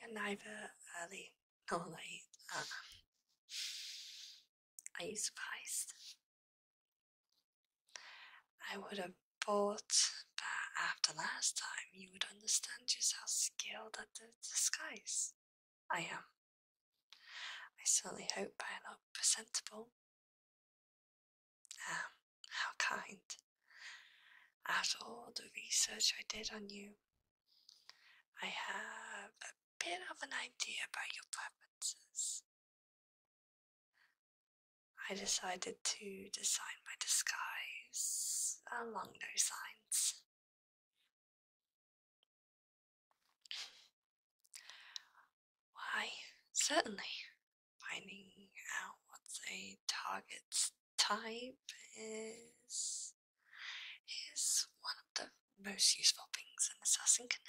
You're neither early nor late. are you surprised? I would have bought, but after last time, you would understand just how skilled at the disguise I am. I certainly hope I am not presentable. Um, how kind. After all the research I did on you, I have a bit of an idea about your preferences. I decided to design my disguise along those lines. Why, certainly. Finding out what's a target's type is is one of the most useful things an assassin can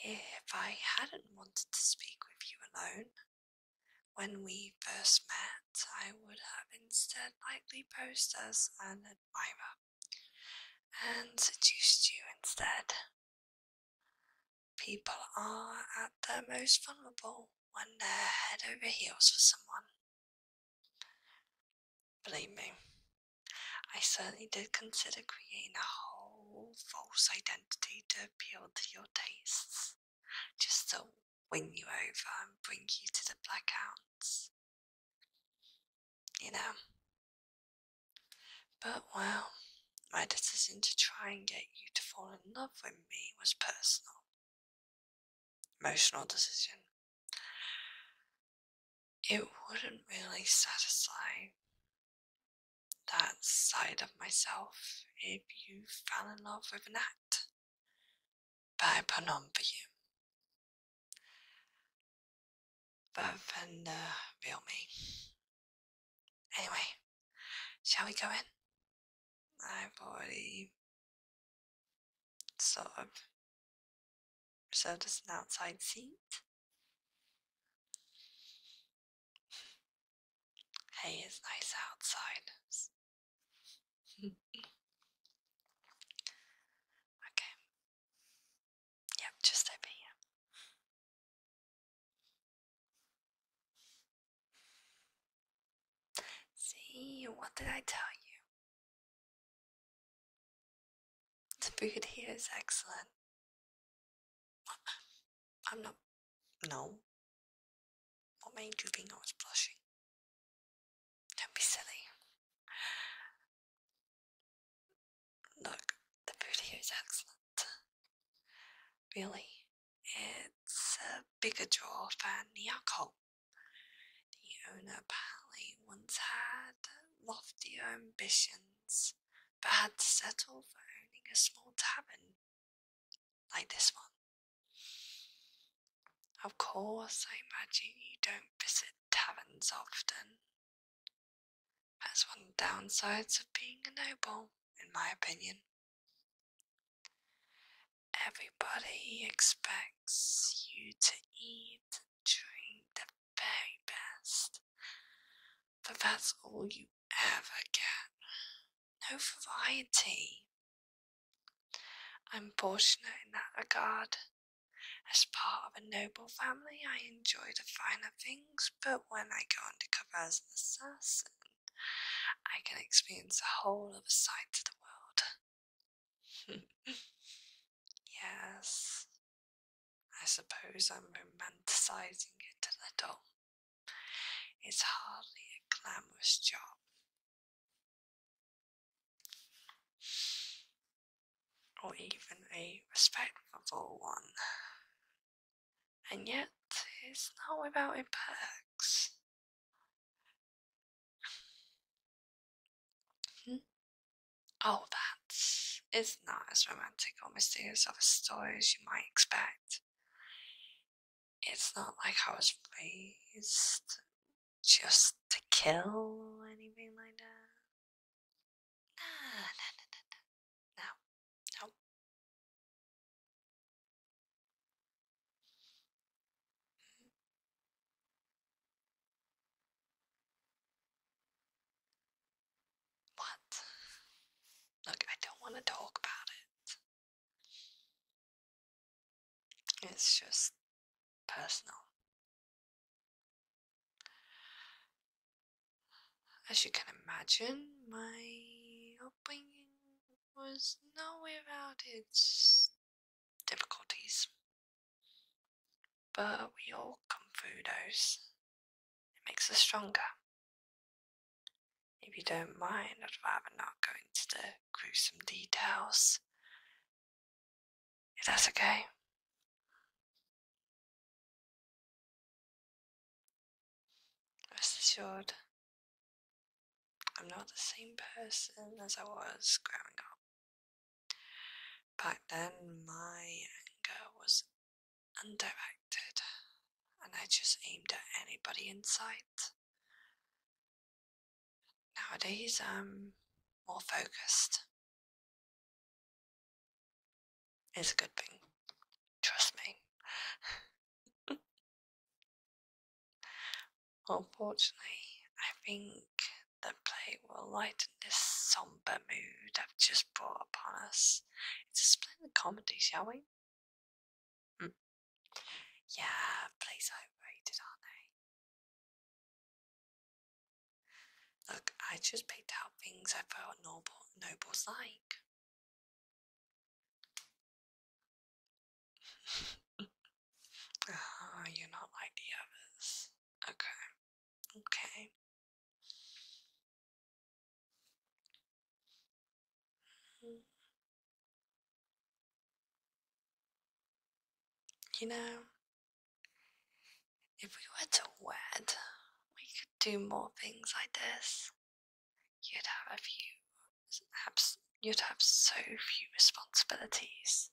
have. If I hadn't wanted to speak with you alone when we first met, I would have instead lightly posed as an admirer and seduced you instead. People are at their most vulnerable when they're head over heels for someone. Believe me, I certainly did consider creating a whole false identity to appeal to your tastes, just so win you over and bring you to the blackouts. You know. But well, my decision to try and get you to fall in love with me was personal. Emotional decision. It wouldn't really satisfy that side of myself if you fell in love with an Act bei Penompium. Vanderbilt me. Anyway, shall we go in? I've already sort of an outside seat. Hey, it's nice outside okay. Yep, just over See, what did I tell you? The food here is excellent. I'm not. No, what made you think I was blushing? Don't be silly. Look, the food is excellent. Really, it's a bigger draw than Nyako. The owner apparently once had loftier ambitions, but had to settle for owning a small tavern like this one. Of course, I imagine you don't visit taverns often. That's one of the downsides of being a noble, in my opinion. Everybody expects you to eat and drink the very best, but that's all you ever get. No variety, I'm fortunate in that regard. As part of a noble family, I enjoy the finer things, but when I go undercover as an assassin, I can experience the whole other side to the world. yes, I suppose I'm romanticizing it a little. It's hardly a glamorous job, or even a respectable one. And yet, it's not without impacts. Hmm? Oh, that is not as romantic or mysterious of a story as you might expect it's not like I was raised just to kill anything like that. Ah, nah, nah, nah, nah, No, no. What? Look, I don't want to talk about it. It's just personal. As you can imagine, my upbringing was not without its difficulties. But we all come through those. It makes us stronger, if you don't mind, I'd rather not go into the gruesome details. If that's okay. Rest assured, I'm not the same person as I was growing up. Back then, my anger was undirected, and I just aimed at anybody in sight. Nowadays, I'm more focused. It's a good thing. Trust me. Unfortunately, I think the play will lighten this somber mood I've just brought upon us. It's a splendid comedy, shall we? right? Mm. Yeah, plays overrated, aren't they? Look, I just picked out things I thought noble nobles like. oh, you're not like the others. Okay. Okay. You know, if we were to wed, we could do more things like this. You'd have a few, you'd have so few responsibilities.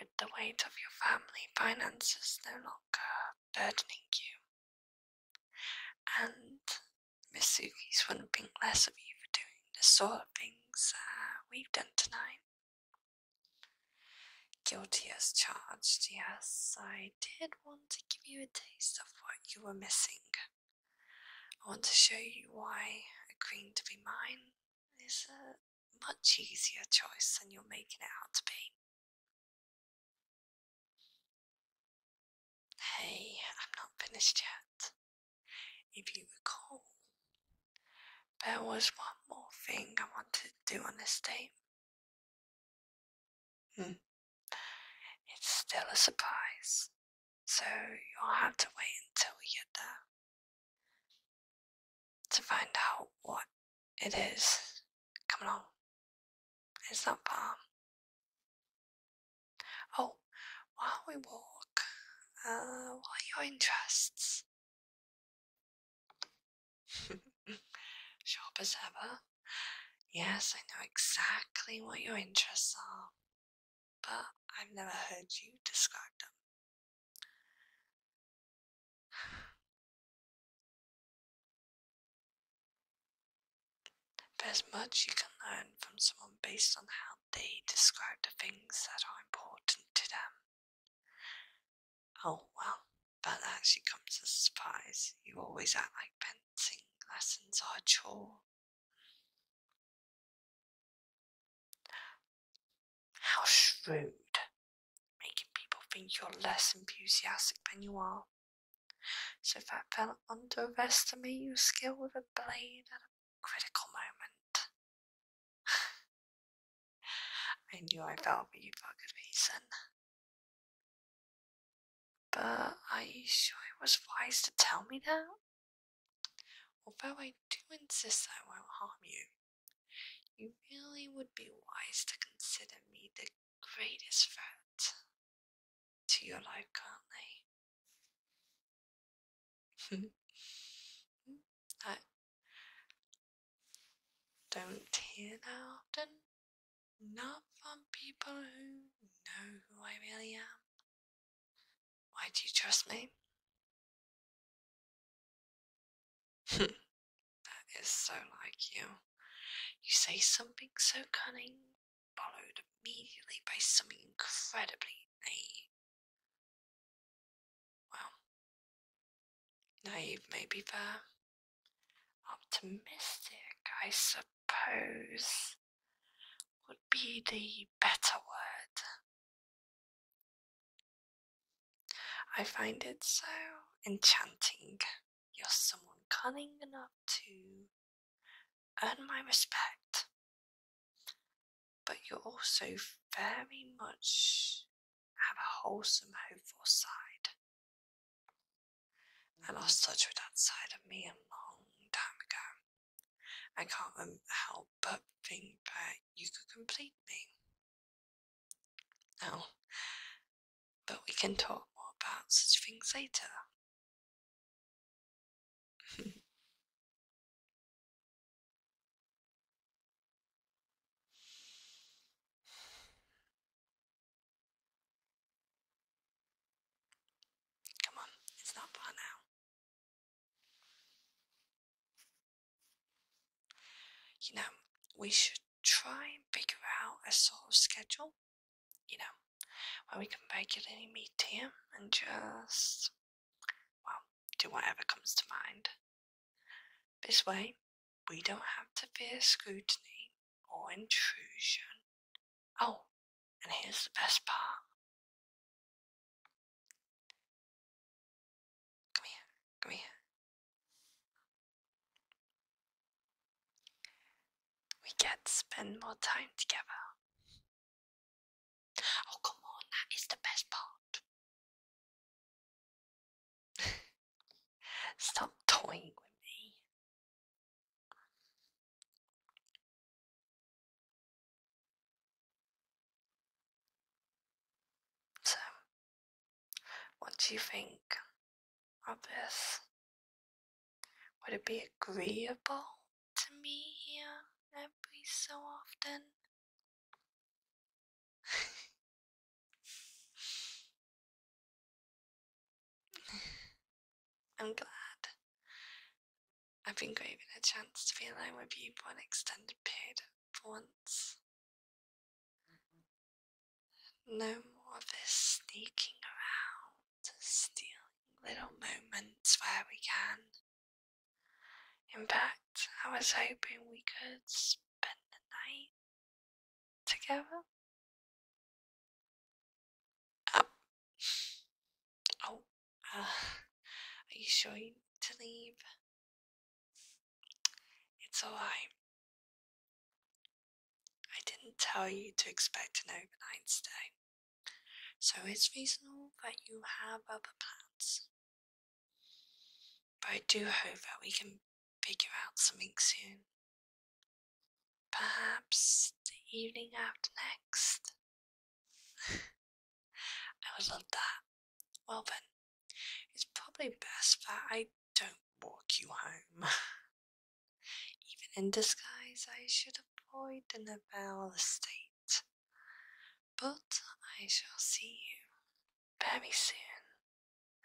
With the weight of your family finances no longer burdening you, and Miss Suki's wouldn't think less of you for doing the sort of things we've done tonight. Guilty as charged, yes, I did want to give you a taste of what you were missing. I want to show you why agreeing to be mine is a much easier choice than you're making it out to be. Hey, I'm not finished yet. If you recall, there was one more thing I wanted to do on this date. Hmm. It's still a surprise, so you'll have to wait until we get there to find out what it is. Come along. It's not far. Oh, while we walk, uh, what are your interests? Sharp as ever. Yes, I know exactly what your interests are, but I've never heard you describe them. There's much you can learn from someone based on how they describe the things that are important to them. Oh well, but that actually comes as a surprise. You always act like fencing lessons are a chore. How shrewd, making people think you're less enthusiastic than you are. So if I fell underestimate your skill with a blade at a critical moment. I knew I fell for you for a good reason. But are you sure it was wise to tell me that? Although I do insist I won't harm you, you really would be wise to consider me the greatest threat to your life, can't they? I don't hear that often. Not from people who know who I really am. Why do you trust me? That is so like you. You say something so cunning, followed immediately by something incredibly naive. Well, naive may be fair. Optimistic, I suppose, would be the better word. I find it so enchanting you're someone cunning enough to earn my respect, but you also very much have a wholesome, hopeful side. and I lost mm-hmm. touch with that side of me a long time ago. I can't help but think that you could complete me now, oh, but we can talk more about such things later. Come on, it's not far now. You know, we should try and figure out a sort of schedule, you know, where we can regularly meet here and just, well, do whatever comes to mind. This way, we don't have to fear scrutiny or intrusion. Oh, and here's the best part. Come here. We here. We can spend more time together. Oh, come on, that is the best part. Stop toying with me. So, what do you think of this? Would it be agreeable to me here every so often? I'm glad. I've been craving a chance to be alone with you for extended period for once. No more of this sneaking around, stealing little moments where we can. In fact, I was hoping we could spend the night together. Oh, oh uh, are you sure you to leave? It's alright. I didn't tell you to expect an overnight stay, so it's reasonable that you have other plans. But I do hope that we can figure out something soon. Perhaps the evening after next. I would love that. Well then, it's probably best that I don't walk you home. Even in disguise, I should avoid the Neville estate. But I shall see you very soon.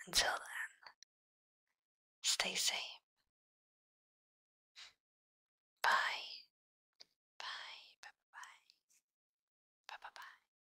Until then, stay safe. Bye. Bye. Bye. Bye. Bye. Bye. Bye.